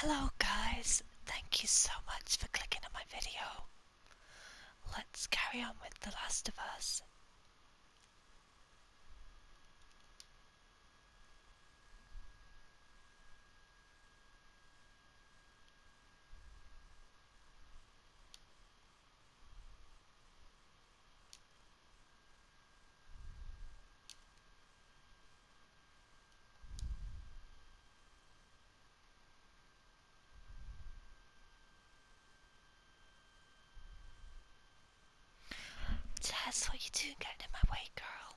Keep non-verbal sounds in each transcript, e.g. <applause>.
Hello guys, thank you so much for clicking on my video. Let's carry on with The Last of Us. That's what you do, getting in my way, girl.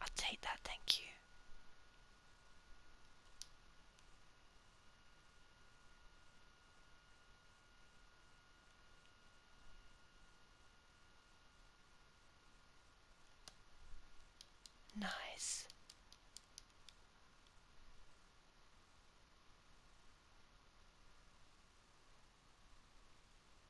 I'll take that, thank you. Nice.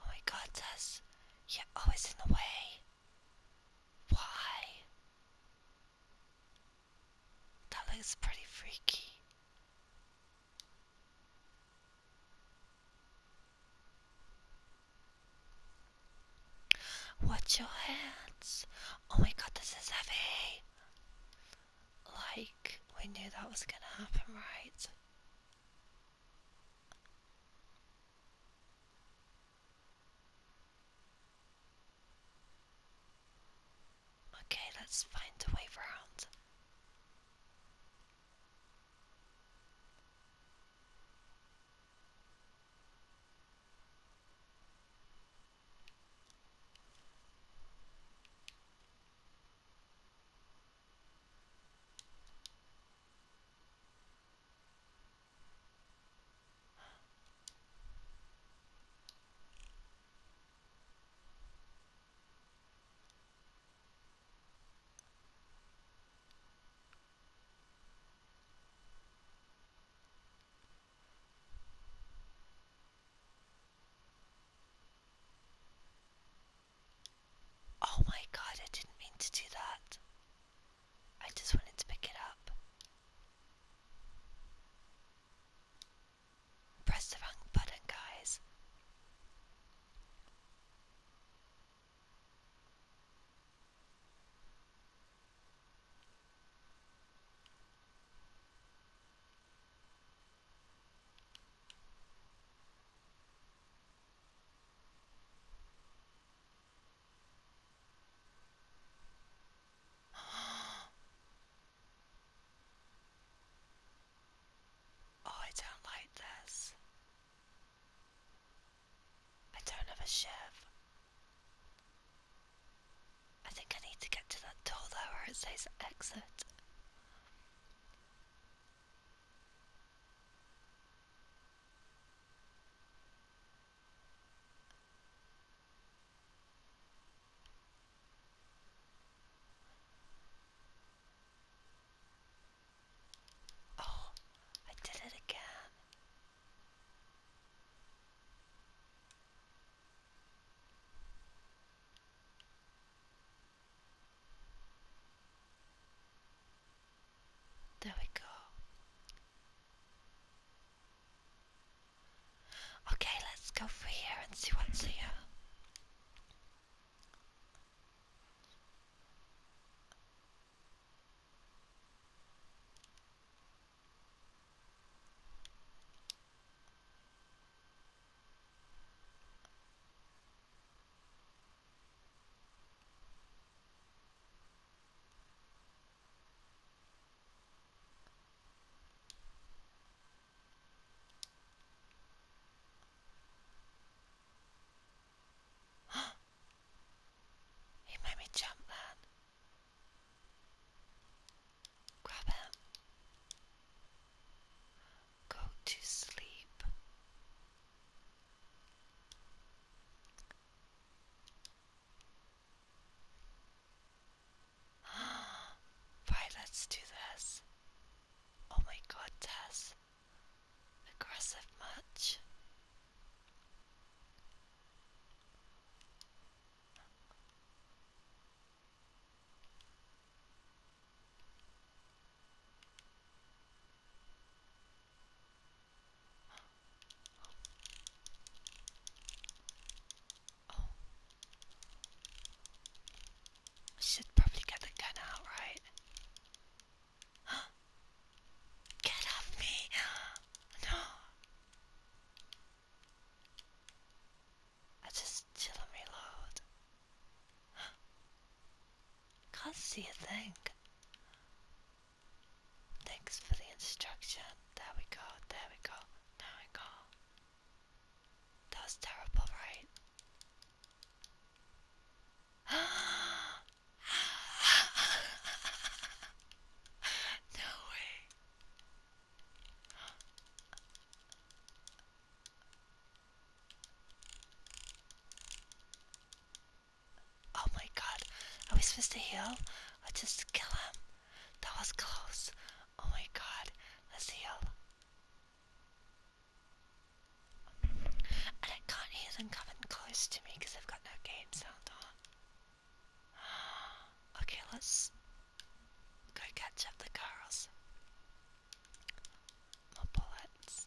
Oh my god, Tess, you're always in the way. Why? That looks pretty freaky. Watch your hands. Oh my god, this is heavy. Like, we knew that was gonna happen, right? Okay, let's find a way around. Oh, my God, I didn't mean to do that. I just wanted to pick it up. Press the wrong button, guys. Oh, I don't like this. I don't have a shiv. I think I need to get to that door though where it says exit. Oh, I did it again. There we go. Okay, let's go through here and see what's here. <gasps> he made me jump, man. Grab him. Go to sleep. <gasps> Right, let's do this. Oh my god, Tess. Aggressive much. <gasps> Oh, I should probably get the gun out, right? Huh? <gasps> Get off me! <gasps> No! I just chill reload. <gasps> Can't see a thing. Thanks for the instruction. There we go, there we go, there we go. That was terrible, right? <gasps> no way. Oh my god, are we supposed to heal or just kill him? That was close. Oh my god. Let's heal. And I can't hear them coming close to me because I've got no game sound on. <gasps> Okay, let's go catch up the girls. More bullets.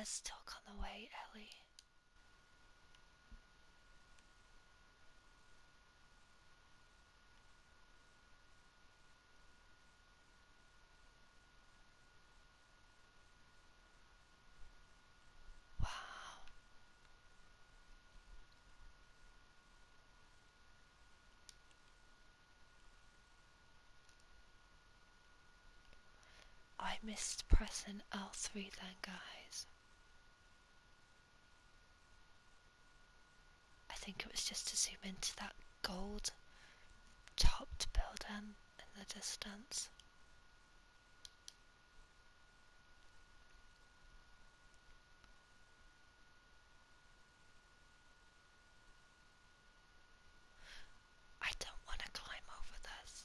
A stalk on the way, Ellie. Wow. I missed pressing L3 then, guys. I think it was just to zoom into that gold topped building in the distance. I don't want to climb over this.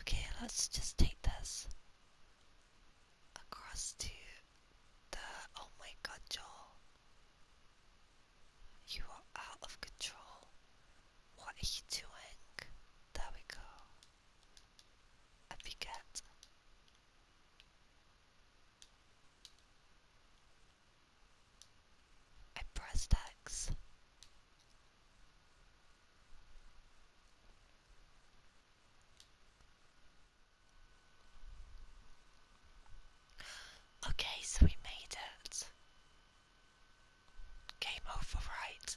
Okay, let's just take this across to the. Oh my god, Joel. You are out of control. What are you doing? There we go. A piquette. I pressed X. Okay, so we made it. Game over, right?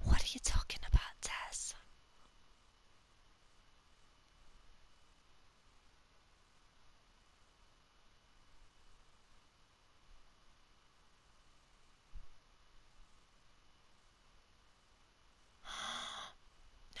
What are you talking about, Tess? <gasps> no.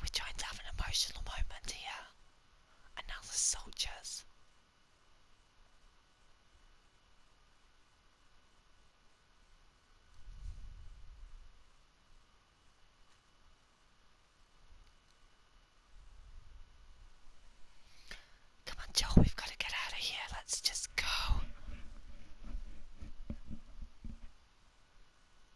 We're trying to have an emotional moment here. And now the soldiers. Come on, Joel, we've got to get out of here. Let's just go.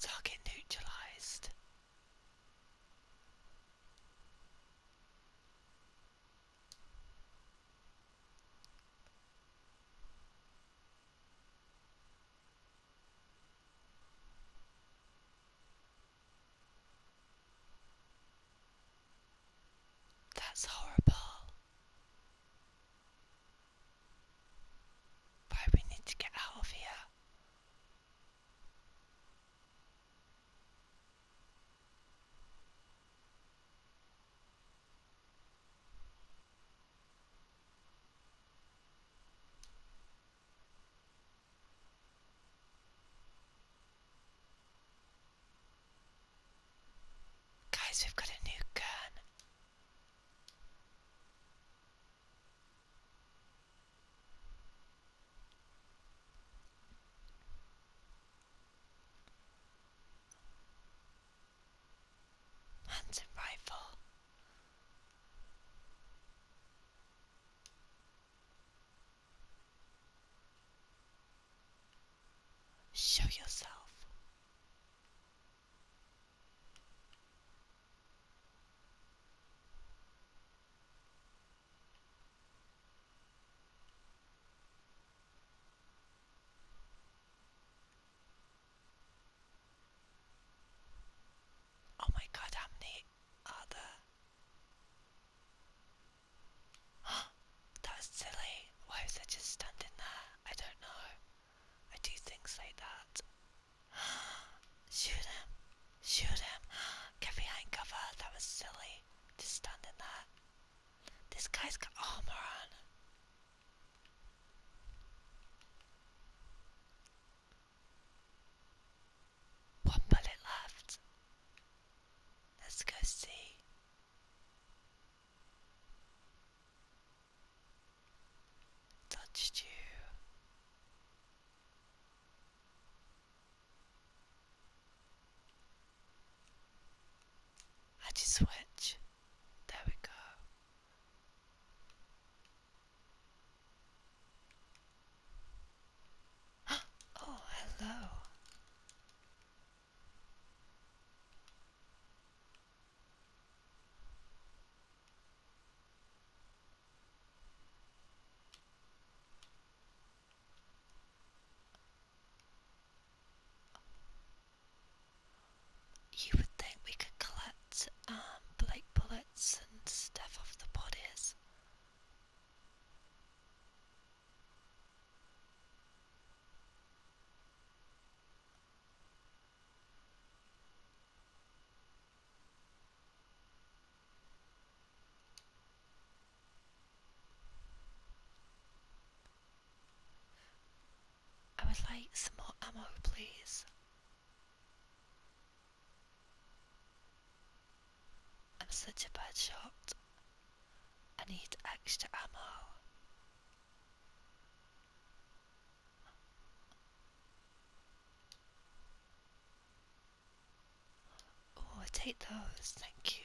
Target <gasps> neutralized. That's horrible. Why we need to get out of here. Guys, we've got a new gun. Hunting rifle. Show yourself. Oh my god, how many are there? Huh, <gasps> that was silly. Why was I just standing there? I don't know. I do things like that. <gasps> Shoot him! Shoot him! Get behind cover! That was silly. Just standing there. This guy's got armor on. One bullet left. Let's go see touched you. I just you switch? There we go. <gasps> oh, hello. You would think we could collect um, like bullets and stuff off the bodies. I would like some more ammo, please. I'm such a bad shot. I need extra ammo. Oh, take those, thank you.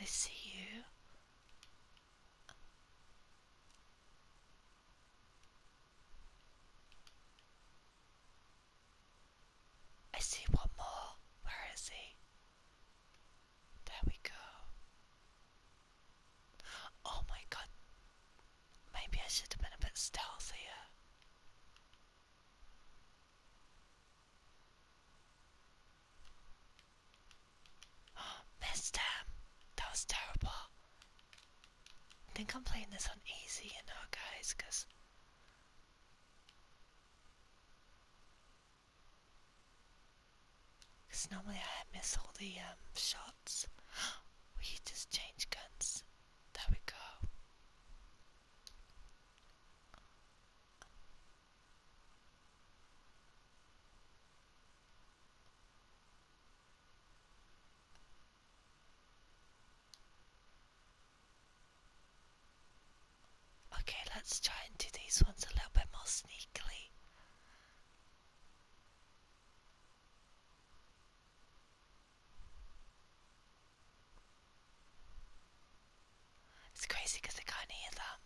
I see you. I see one more. Where is he? There we go. Oh my god. Maybe I should have been a bit stealthier. <gasps> Missed him! That was terrible. I think I'm playing this on easy you know guys because normally I miss all the um, shots. <gasps> we just change guns. There we go. Okay, let's try and do these ones a little bit more sneakily. It's crazy because can hear them.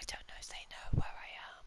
I don't know if they know where I am.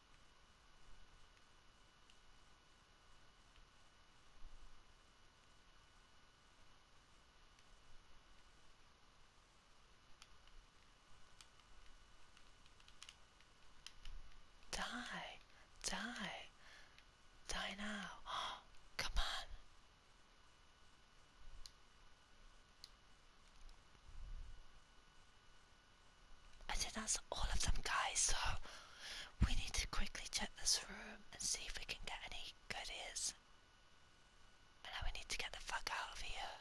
Die, die, die now. <gasps> come on. I think that's all of them, guys. So we need to quickly check this room and see if we can get any goodies. And now we need to get the fuck out of here.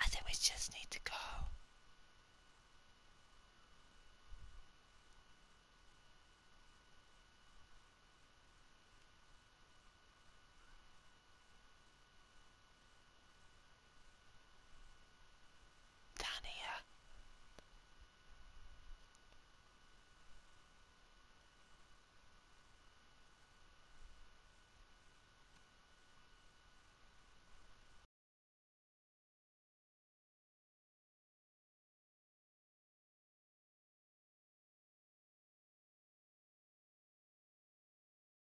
I think we just need to go. Down here.